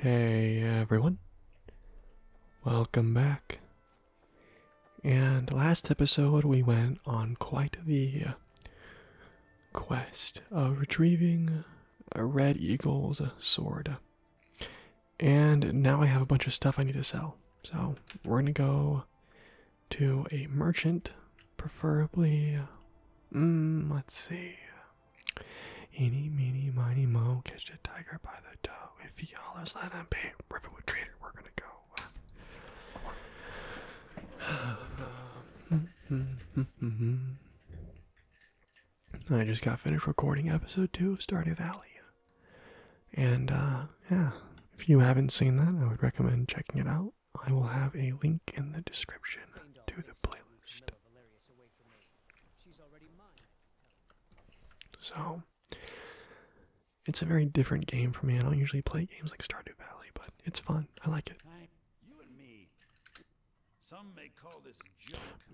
Hey everyone, welcome back. And last episode, we went on quite the uh, quest of retrieving a Red Eagle's sword. And now I have a bunch of stuff I need to sell. So we're gonna go to a merchant, preferably. Mm, let's see. Eeny, meeny, miny, mo, catch the tiger by the toe. If he hollers, let him pay. Riverwood Trader, we're gonna go. I just got finished recording episode two of Stardew Valley. And uh, yeah, if you haven't seen that, I would recommend checking it out. I will have a link in the description to the playlist. So, it's a very different game for me. I don't usually play games like Stardew Valley, but it's fun. I like it.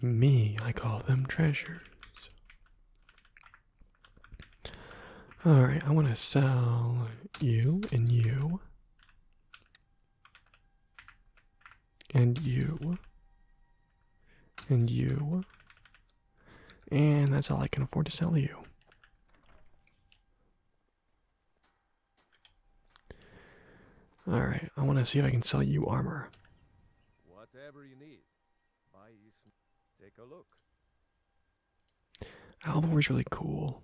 Me, I call them treasures. All right, I want to sell you and you and you and you and that's all I can afford to sell you. All right, I want to see if I can sell you armor. Whatever you need, buy. Take a look. Alvor is really cool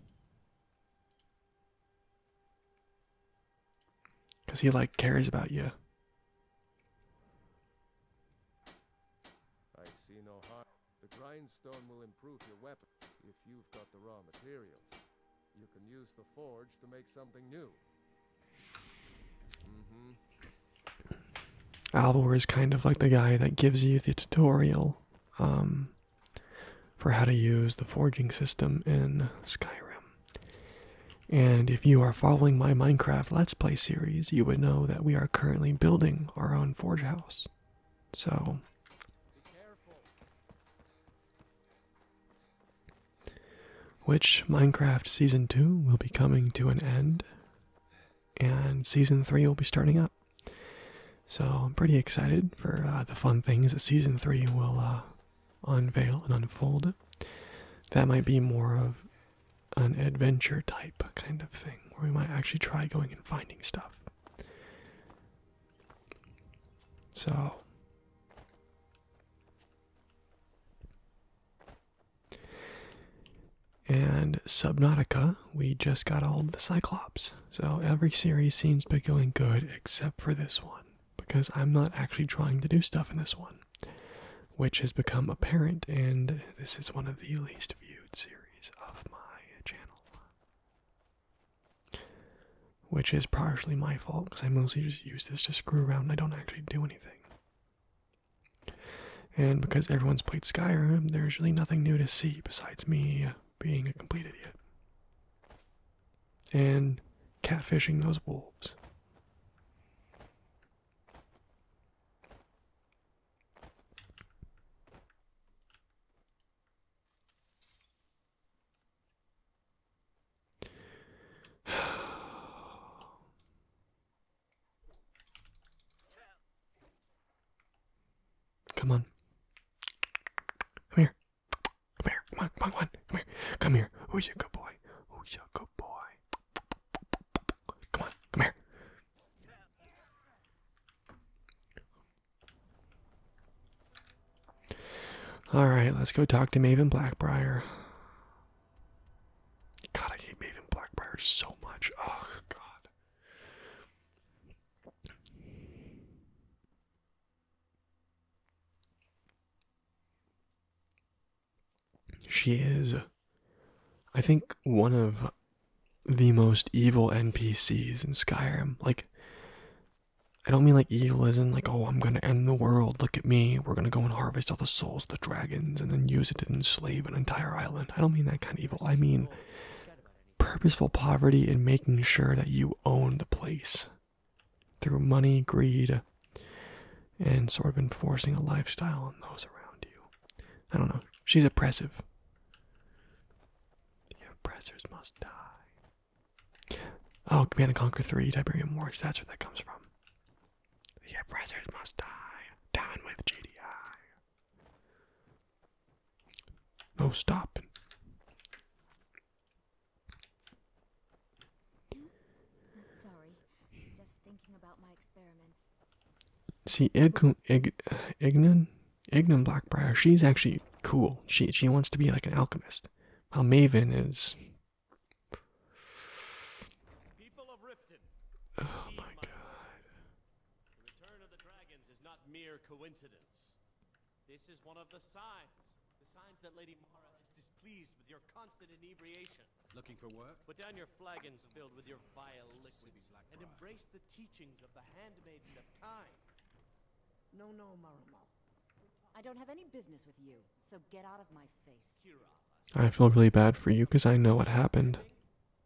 because he like cares about you. I see no harm. The grindstone will improve your weapon if you've got the raw materials. You can use the forge to make something new. hmm Alvor is kind of like the guy that gives you the tutorial um, for how to use the forging system in Skyrim. And if you are following my Minecraft Let's Play series, you would know that we are currently building our own forge house. So. Which Minecraft Season 2 will be coming to an end and season three will be starting up. So I'm pretty excited for uh, the fun things that season three will uh, unveil and unfold. That might be more of an adventure type kind of thing, where we might actually try going and finding stuff. So. And Subnautica, we just got all the Cyclops. So every series seems to be going good except for this one, because I'm not actually trying to do stuff in this one, which has become apparent, and this is one of the least viewed series of my channel. Which is partially my fault, because I mostly just use this to screw around. I don't actually do anything. And because everyone's played Skyrim, there's really nothing new to see besides me being a complete idiot. And catfishing those wolves. Come on. Come here. Come here. Come on. Come on. Come here. Come here. Who's your good boy? Who's your good boy? Come on. Come here. All right, let's go talk to Maven Blackbriar. God, I hate Maven Blackbriar so much. Oh, God. She is, I think, one of the most evil NPCs in Skyrim. Like, I don't mean like evil as in like, oh, I'm gonna end the world, look at me, we're gonna go and harvest all the souls of the dragons and then use it to enslave an entire island. I don't mean that kind of evil. I mean, purposeful poverty and making sure that you own the place through money, greed, and sort of enforcing a lifestyle on those around you. I don't know. She's oppressive. The oppressors must die. Oh, Command and Conquer 3, Tiberium Wars, that's where that comes from. The oppressors must die. Down with JDI. No stopping. See, Ignan, Ignan, Blackbriar. She's actually cool. She she wants to be like an alchemist. While Maven is. Oh my god. The return of the dragons is not mere coincidence. This is one of the signs. The signs that Lady Mara is displeased with your constant inebriation. Looking for work? Put down your flagons filled with your vile liquids and embrace the teachings of the handmaiden of Time. No, no, Mara. I don't have any business with you, so get out of my face. I feel really bad for you because I know what happened.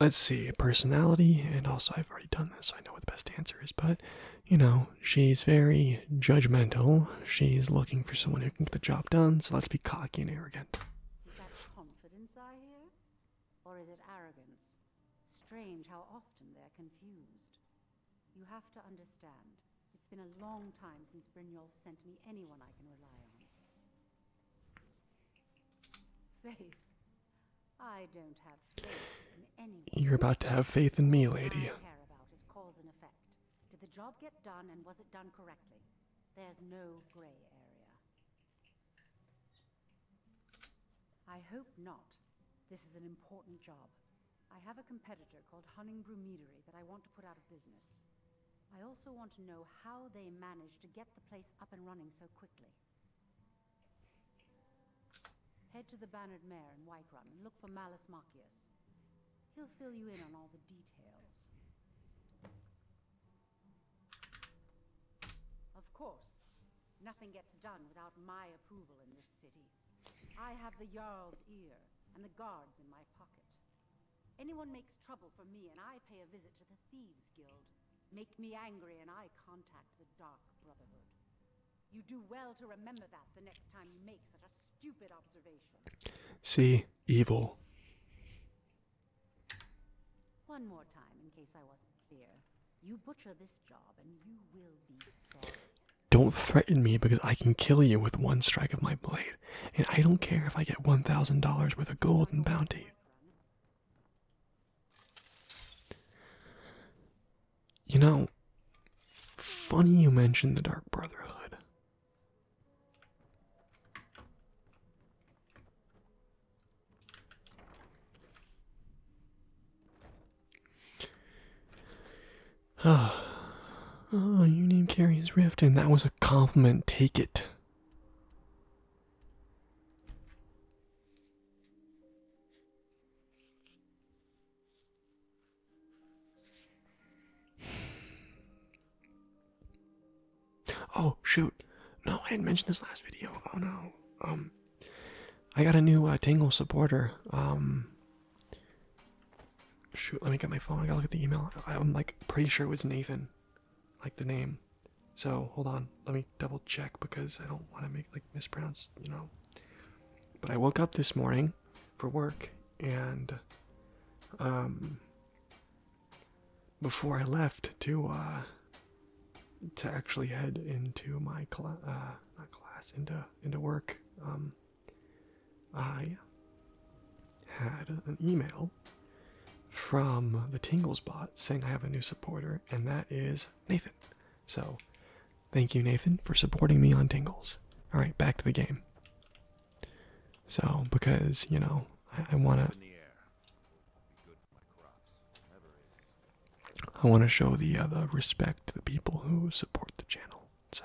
Let's see, personality, and also I've already done this, so I know what the best answer is, but you know, she's very judgmental. She's looking for someone who can get the job done, so let's be cocky and arrogant. Is that confidence I hear? Or is it arrogance? Strange how often they're confused. You have to understand, it's been a long time since Brynjolf sent me anyone I can rely on. Faith, you're about to have faith in me, lady. I care hope not. This is an important job. I have a competitor called Hunning Meadery that I want to put out of business. I also want to know how they managed to get the place up and running so quickly. Head to the Bannered Mare in Whiterun and look for Malus Marcius. He'll fill you in on all the details. Of course, nothing gets done without my approval in this city. I have the Jarl's ear and the guards in my pocket. Anyone makes trouble for me and I pay a visit to the Thieves Guild. Make me angry and I contact the Dark Brotherhood. You do well to remember that the next time you make such a stupid observation. See, evil. One more time, in case I wasn't clear. You butcher this job and you will be sorry. Don't threaten me because I can kill you with one strike of my blade, and I don't care if I get $1,000 worth of gold and bounty. You know, funny you mentioned the Dark Brotherhood. Ah, oh, you named Carrie's Rift, and that was a compliment. Take it. Oh shoot! No, I didn't mention this last video. Oh no. Um, I got a new uh, Tangle supporter. Um, shoot, let me get my phone. I gotta look at the email. I'm like pretty sure it was Nathan, like the name. So hold on, let me double check because I don't want to make like mispronounce, you know. But I woke up this morning for work and um, before I left to uh, to actually head into my class, uh, not class, into into work, um, I had an email from the Tingles bot saying I have a new supporter, and that is Nathan. So, thank you, Nathan, for supporting me on Tingles. All right, back to the game. So, because you know, I, wanna, I wanna show the uh, respect to the people who support the channel. So.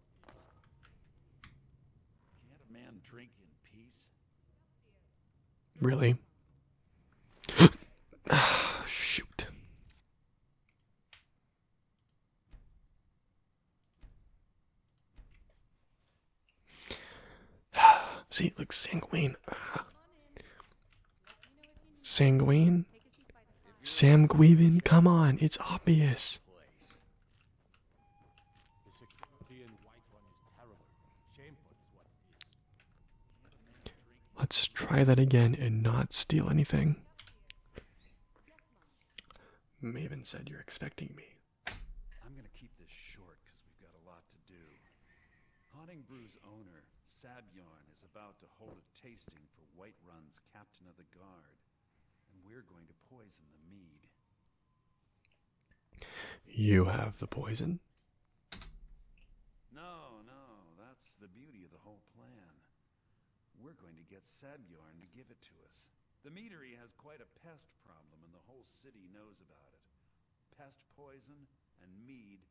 Can't a man drink in peace? Really? Shoot. See, look, sanguine. Sanguine? Sam Guevin, come on, it's obvious. Let's try that again and not steal anything. Maven said you're expecting me. I'm gonna keep this short because we've got a lot to do. Haunting Brew's owner, Sabjorn, is about to hold a tasting for Whiterun's Captain of the Guard. And we're going to poison the mead. You have the poison? No, no, that's the beauty of the whole plan. We're going to get Sabjorn to give it to us. The meadery has quite a pest problem, and the whole city knows about it. Pest poison and mead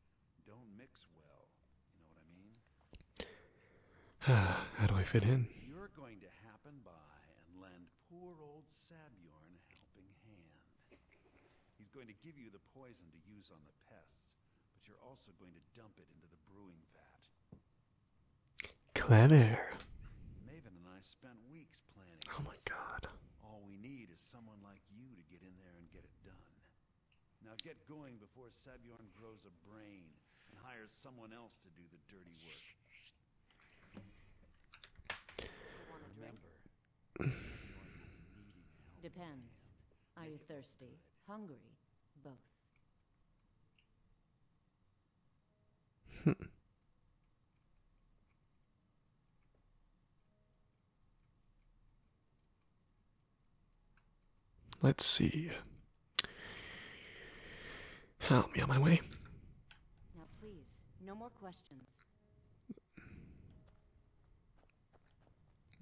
don't mix well. How do I fit in? You're going to happen by and lend poor old Sabjorn a helping hand. He's going to give you the poison to use on the pests, but you're also going to dump it into the brewing vat. Clever. Maven Oh my god. All we need is someone like you to get in there and get it done. Now get going before Sabjorn grows a brain and hires someone else to do the dirty work. Depends. Are you thirsty? Hungry? Both. Let's see. Help me on my way. Now, please, no more questions.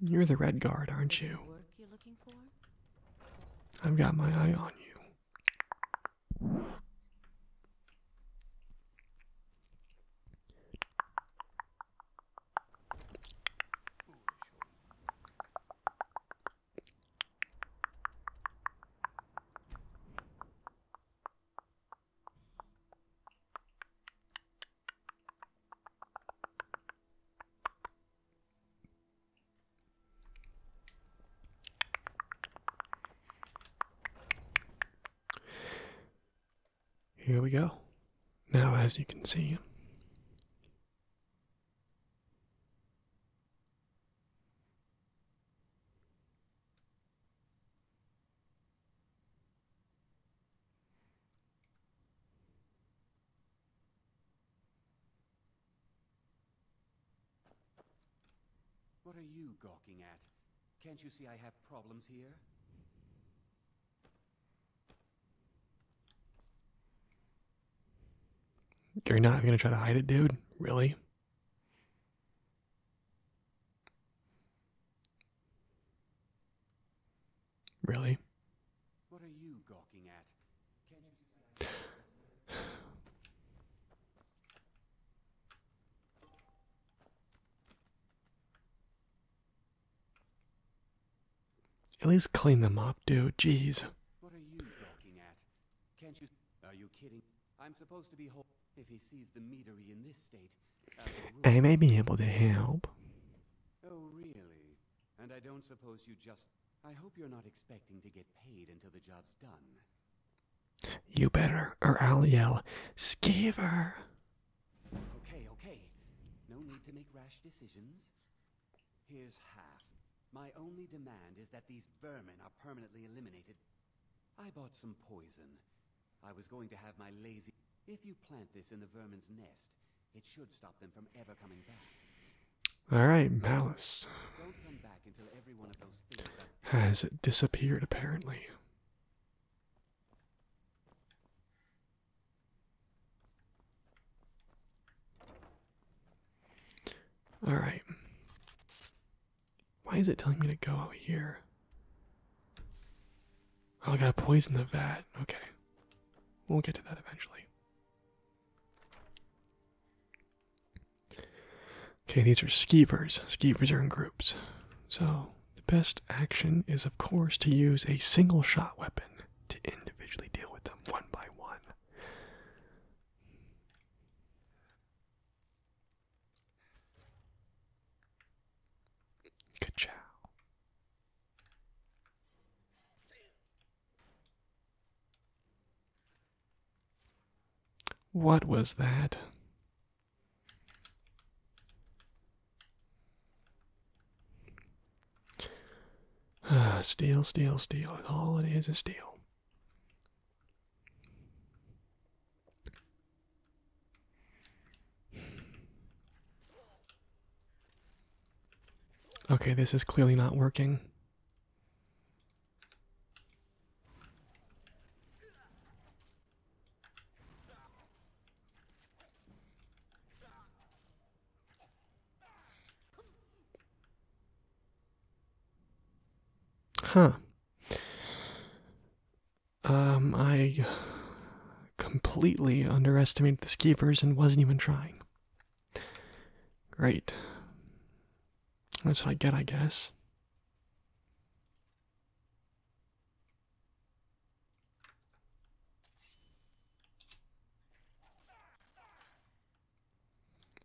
You're the Red Guard, aren't you? I've got my eye on you. Here we go. Now, as you can see, what are you gawking at? Can't you see I have problems here? You're not even going to try to hide it, dude? Really? Really? At least clean them up, dude. Jeez. What are you looking at? Can't you? Are you kidding? I'm supposed to be whole. If he sees the meadery in this state, I uh, may be able to help. Oh, really? And I don't suppose you just. I hope you're not expecting to get paid until the job's done. You better, or I'll yell, Skeever! Okay, okay. No need to make rash decisions. Here's half. My only demand is that these vermin are permanently eliminated. I bought some poison. I was going to have my lazy... If you plant this in the vermin's nest, it should stop them from ever coming back. Alright, malice. Has disappeared, apparently. All right. Why is it telling me to go out here? Oh, I gotta poison the vat. Okay. We'll get to that eventually. Okay, these are skeevers. Skeevers are in groups. So, the best action is, of course, to use a single shot weapon to individually deal with them one by one. Ka-chow. What was that? Steel, steel, steel. All it is is steel. Okay, this is clearly not working. Huh. Um, I completely underestimated the skeevers and wasn't even trying. Great. That's what I get, I guess.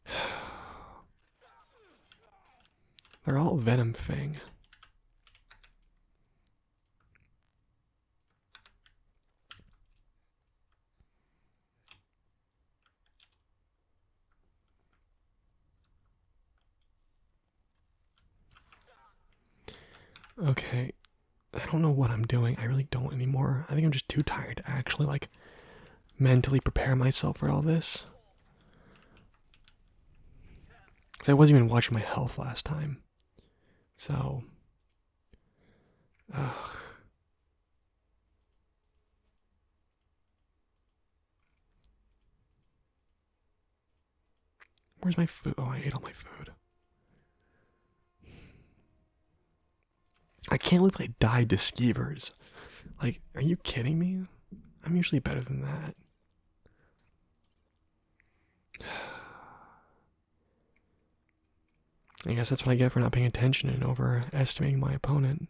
They're all Venom Fang. Okay, I don't know what I'm doing. I really don't anymore. I think I'm just too tired to actually like mentally prepare myself for all this. Cause I wasn't even watching my health last time. So Where's my food? Oh, I ate all my food. I can't believe I died to skeevers. Like, are you kidding me? I'm usually better than that. I guess that's what I get for not paying attention and overestimating my opponent.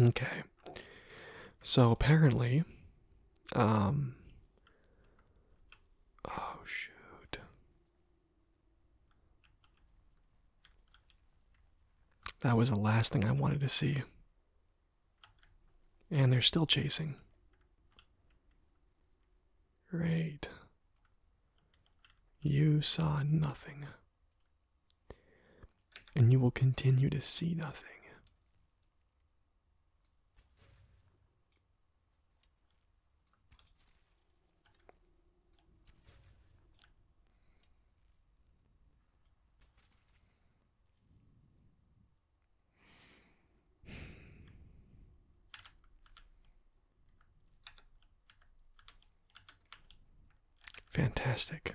Okay. So apparently, um, oh shoot. That was the last thing I wanted to see. And they're still chasing. Great. You saw nothing and you will continue to see nothing. Fantastic.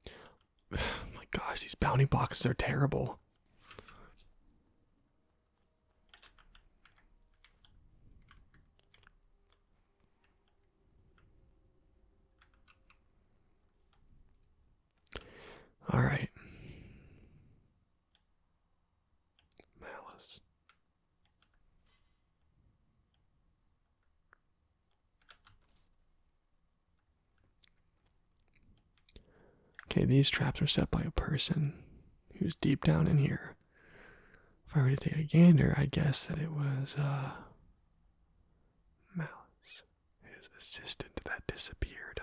my gosh, these bounty boxes are terrible. All right. Malice. Okay, these traps are set by a person who's deep down in here. If I were to take a gander, I'd guess that it was uh Malice, his assistant that disappeared.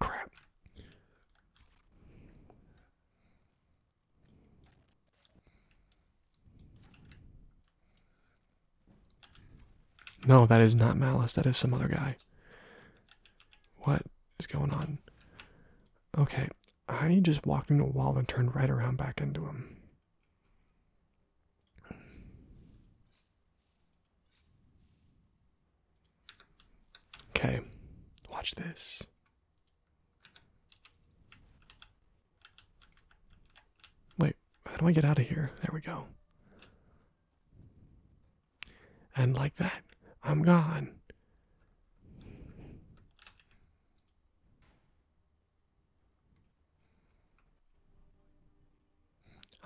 Crap. No, that is not Malice. That is some other guy. What is going on? Okay, I just walked into a wall and turned right around back into him. Okay, watch this. Wait, how do I get out of here? There we go. And like that, I'm gone.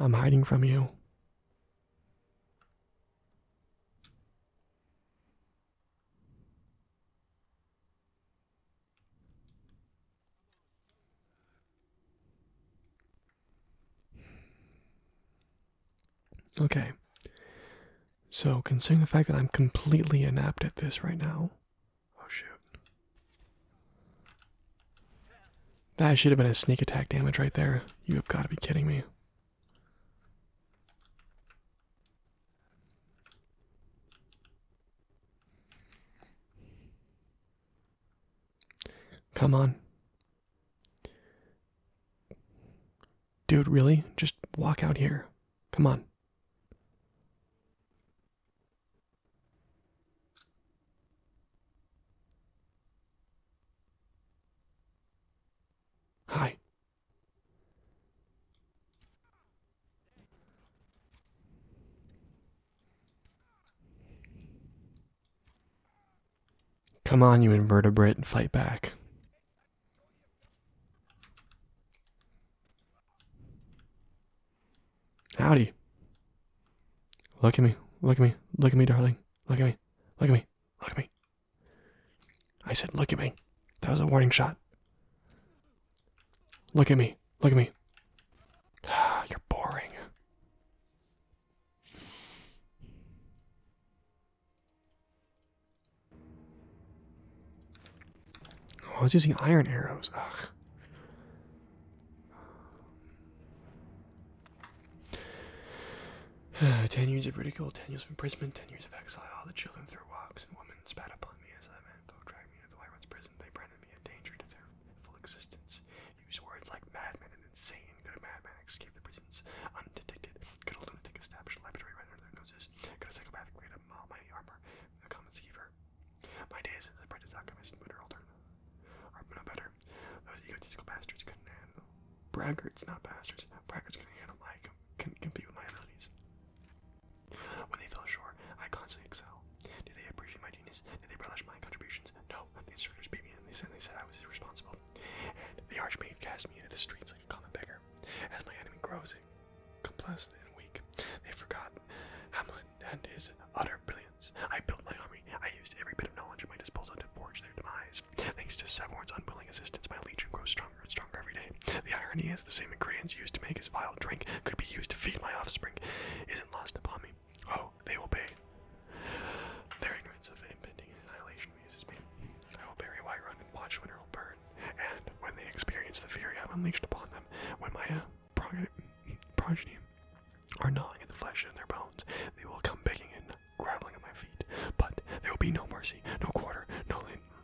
I'm hiding from you. Okay. So, considering the fact that I'm completely inept at this right now, Oh shoot. That should have been a sneak attack damage right there. You have got to be kidding me. Come on. Dude, really? Just walk out here. Come on. Hi. Come on, you invertebrate, and fight back. Howdy. Look at me. Look at me. Look at me, darling. Look at me. Look at me. Look at me. I said, look at me. That was a warning shot. Look at me. Look at me. You're boring. Oh, I was using iron arrows. Ugh. ten years of ridicule, ten years of imprisonment, ten years of exile. All the children threw rocks and women spat upon me as I went. folk dragged me into the Wyverns prison. They branded me a danger to their full existence. Used words like madman and insane. Good madman escape the prisons undetected? Good a lunatic establish laboratory right under their noses? Could a psychopathic create a almighty armor? A common schiever my days as a predisacomist and motor alternate are no better. Those egotistical bastards couldn't handle. Braggarts, not bastards. Braggarts couldn't handle my can compete with my abilities. When they fell short, I constantly excel. Do they appreciate my genius? Do they relish my contributions? No. The instructors beat me and they said, they said I was irresponsible. And the archmage cast me into the streets like a common beggar. As my enemy grows, complacent and weak. They forgot Hamlet and his utter brilliance. I built my army. I used every bit of knowledge at my disposal to forge their demise. Thanks to Sevorn's unwilling assistance, my legion grows stronger and stronger every day. The irony is the same ingredients used to make his vile drink could be used to feed my offspring. Isn't lost upon me. Oh, they will pay. Their ignorance of impending annihilation amuses me. I will bury Whiterun and watch when Earl burn and when they experience the fury I've unleashed upon them, when my uh, progeny are gnawing at the flesh in their bones, they will come begging and grappling at my feet. But there will be no mercy, no quarter, no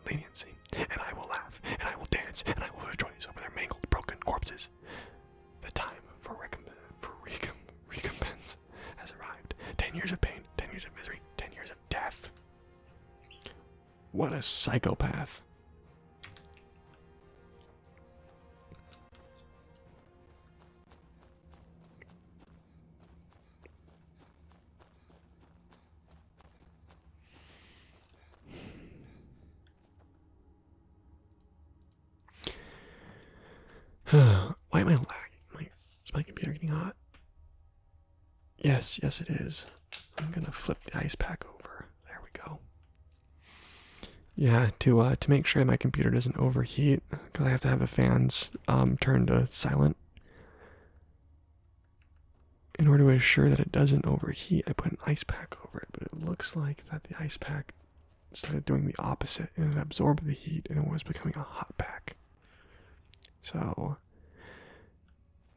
leniency, and I will laugh, and I will dance, and I will rejoice over their mangled, broken corpses. The time for, recompense has arrived. Ten years of pain, ten years of misery, ten years of death. What a psychopath. Why am I lagging? is my computer getting hot? Yes, yes, it is. I'm gonna flip the ice pack over. There we go. Yeah, to uh, to make sure my computer doesn't overheat, because I have to have the fans um, turned to silent. In order to ensure that it doesn't overheat, I put an ice pack over it. But it looks like that the ice pack started doing the opposite, and it absorbed the heat, and it was becoming a hot pack. So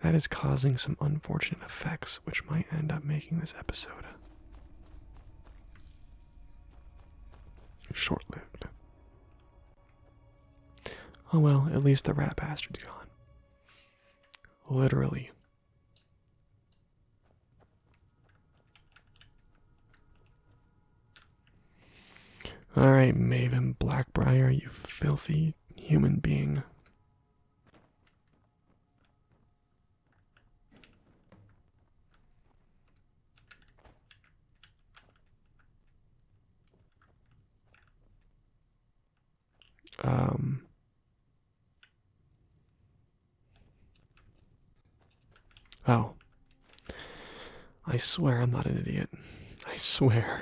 that is causing some unfortunate effects, which might end up making this episode short lived. Oh well, at least the rat bastard's gone. Literally. Alright, Maven Blackbriar, you filthy human being. Um, oh, I swear I'm not an idiot. I swear.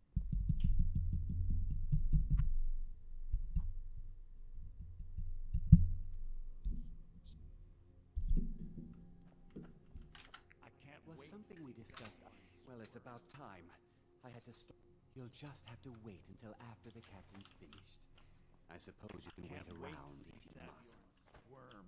was something we discussed. Well, it's about time. I had to stop. You'll just have to wait until after the captain's finished. I suppose you can wait around if you must. Worm.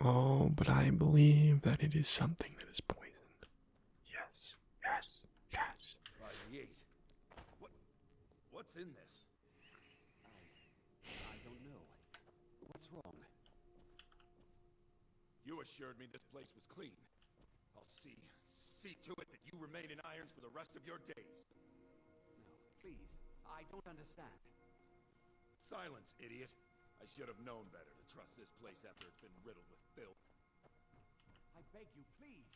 Oh, but I believe that it is something that is poison. Yes, yes, yes. Uh, what, what's in this? I don't know. What's wrong? You assured me this place was clean. I'll see, see to it that you remain in irons for the rest of your days. No, please, I don't understand. Silence, idiot. I should have known better to trust this place after it's been riddled with filth. I beg you, please.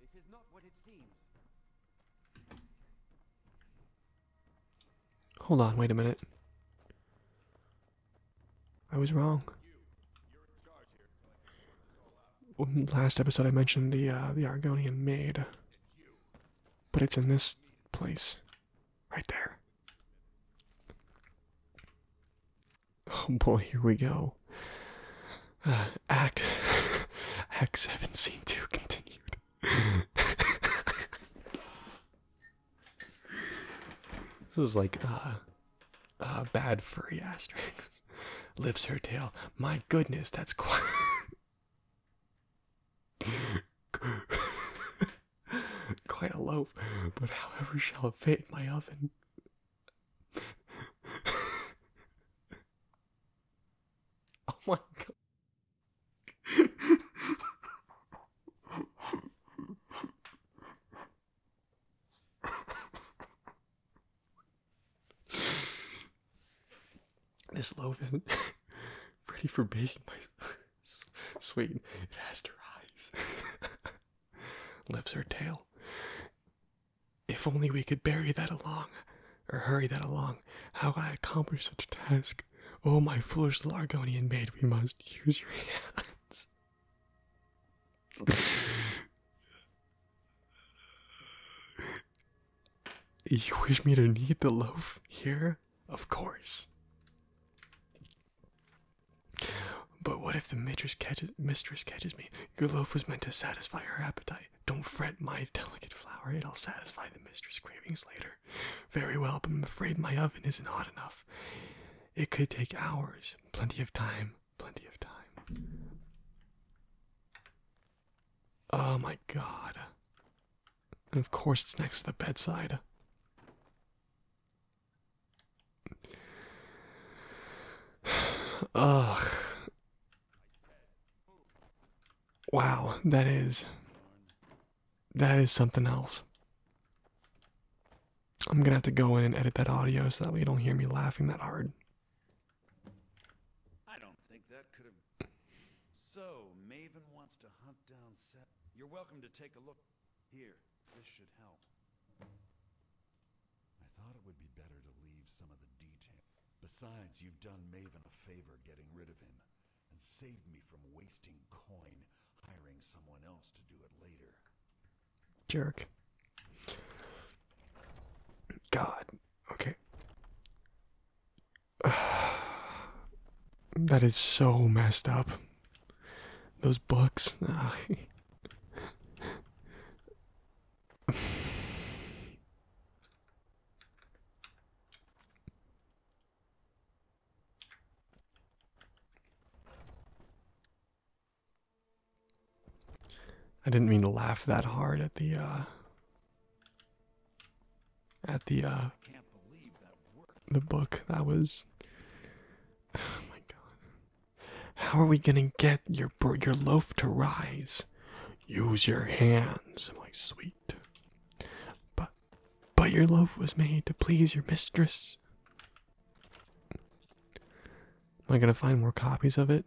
This is not what it seems. Hold on, wait a minute. I was wrong. Last episode I mentioned the uh, the Argonian maid, but it's in this place. Right there. Oh boy, here we go. Uh, act Act 7 scene 2 continued. this is like uh uh bad furry asterix. lifts her tail. My goodness, that's quite Quite a loaf, but however shall it fit in my oven? oh my god. this loaf isn't ready for baking myself. Sweet. It has her eyes. Lifts her tail. If only we could bury that along, or hurry that along, how can I accomplish such a task? Oh, my foolish Largonian maid, we must use your hands. you wish me to knead the loaf here? of course. But what if the mistress catches me? Your loaf was meant to satisfy her appetite. Don't fret, my delicate flower. It'll satisfy the mistress' cravings later. Very well, but I'm afraid my oven isn't hot enough. It could take hours. Plenty of time. Plenty of time. Oh my god. And of course, it's next to the bedside. Ugh. Wow, that is. That is something else. I'm gonna have to go in and edit that audio so that way you don't hear me laughing that hard. You're welcome to take a look. Here, this should help. I thought it would be better to leave some of the detail. Besides, you've done Maven a favor getting rid of him, and saved me from wasting coin hiring someone else to do it later. Jerk. God. Okay. that is so messed up. Those books. I didn't mean to laugh that hard at the uh, at the uh the book that was oh my god how are we gonna get your your loaf to rise use your hands i'm like sweet but but your loaf was made to please your mistress am i gonna find more copies of it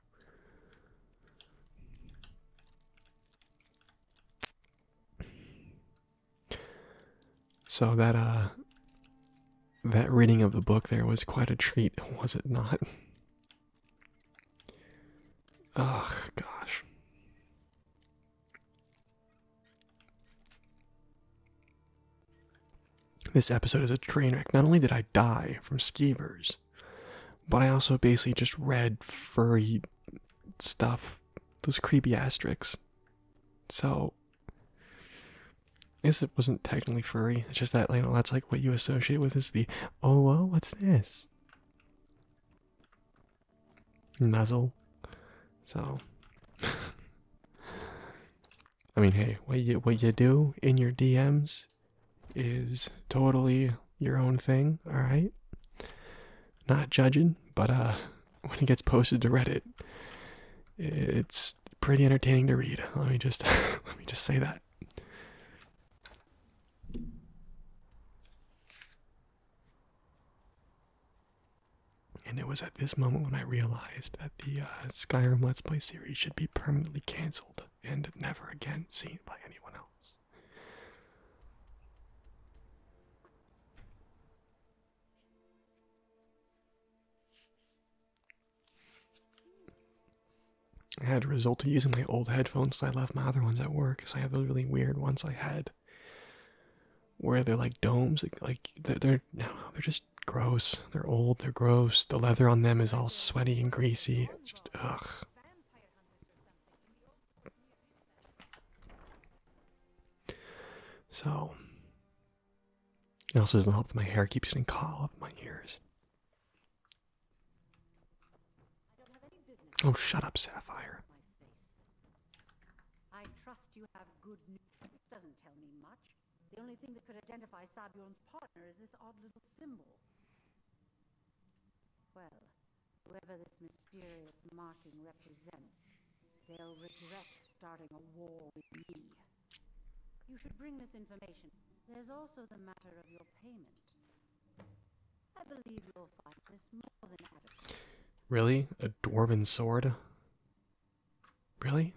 So that uh that reading of the book there was quite a treat, was it not? Oh gosh. This episode is a train wreck. Not only did I die from skeevers, but I also basically just read furry stuff, those creepy asterisks. So, I guess it wasn't technically furry. It's just that, you know, that's like what you associate with is the oh, whoa, what's this? Nuzzle. So, I mean, hey, what you what you do in your DMs is totally your own thing, all right? Not judging, but uh when it gets posted to Reddit, it's pretty entertaining to read. Let me just let me just say that. And it was at this moment when I realized that the uh, Skyrim Let's Play series should be permanently cancelled and never again seen by anyone else. I had to result to using my old headphones, so I left my other ones at work. Because I have those really weird ones I had, where they're like domes, like, they're, they're no, they're just gross. They're old, they're gross. The leather on them is all sweaty and greasy. Just ugh, so, it also doesn't help that my hair keeps getting caught up in my ears. Oh, shut up, Sapphire. I trust you have good news. This doesn't tell me much. The only thing that could identify Sabion's partner is this odd little symbol. Well, whoever this mysterious marking represents, they'll regret starting a war with me. You should bring this information. There's also the matter of your payment. I believe you'll find this more than adequate. Really? A dwarven sword? Really?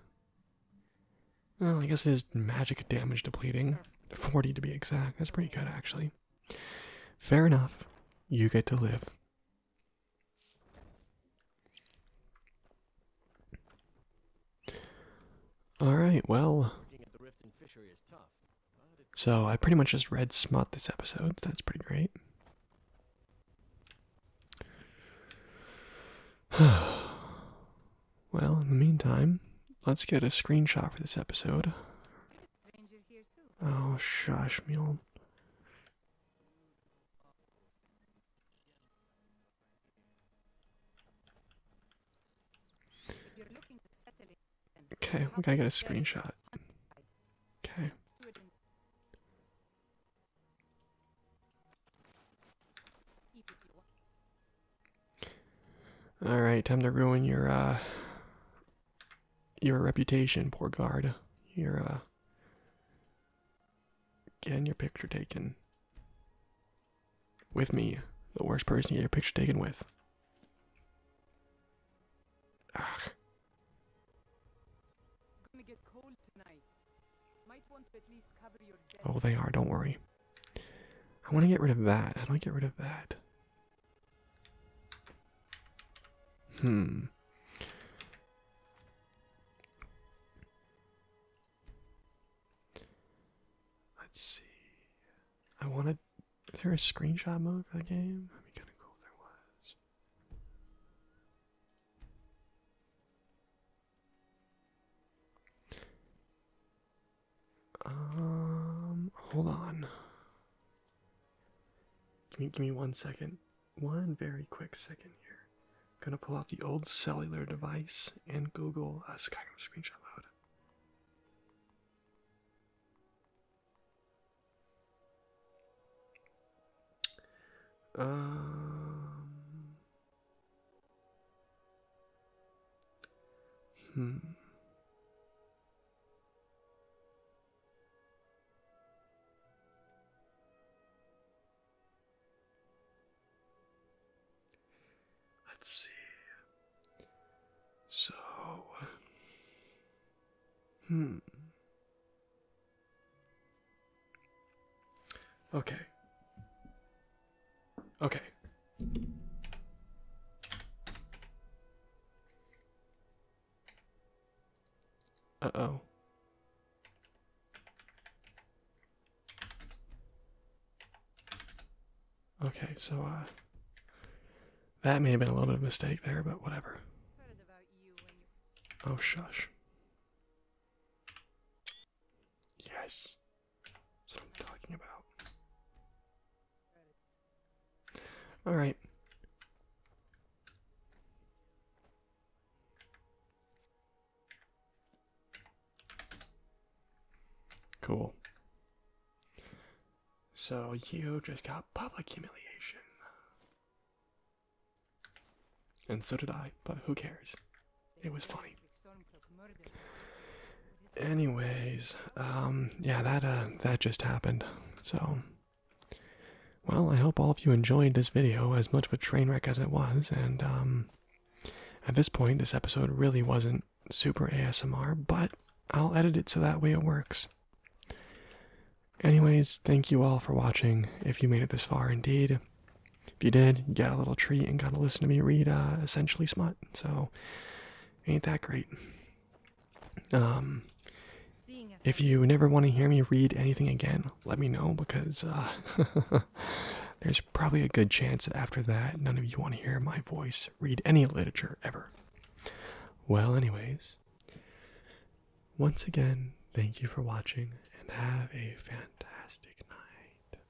Well, I guess it is magic damage depleting. 40 to be exact. That's pretty good, actually. Fair enough. You get to live. Alright, well. So I pretty much just red Smut this episode. that's pretty great. Well, in the meantime, let's get a screenshot for this episode. Oh, shush, mule. Okay, we gotta get a screenshot. Okay. All right, time to ruin your uh, your reputation, poor guard. You're uh, getting your picture taken with me, the worst person to get your picture taken with. Oh, they are. Don't worry. I want to get rid of that. How do I get rid of that? Hmm. Let's see. I want to. Is there a screenshot mode for the game? That'd be kind of cool if there was. Um, hold on. Give me, give me one second. One very quick second here. gonna pull out the old cellular device and Google uh, Skyrim screenshot mode. Um, Hmm. Let's see. So, hmm. Okay. Okay. Uh-oh. Okay, so uh that may have been a little bit of mistake there, but whatever. Oh shush. Yes. That's what I'm talking about. Alright. Cool. So you just got public humiliation. And so did I, but who cares? It was funny. Anyways, um, yeah, that uh, that just happened. So, well, I hope all of you enjoyed this video as much of a train wreck as it was, and um, at this point, this episode really wasn't super ASMR, but I'll edit it so that way it works. Anyways, thank you all for watching. If you made it this far, indeed. If you did, you got a little treat and got to listen to me read uh, Essentially Smut. So ain't that great. Um, if you never want to hear me read anything again, let me know because uh, there's probably a good chance that after that, none of you want to hear my voice read any literature ever. Well, anyways, once again, thank you for watching and have a fantastic night.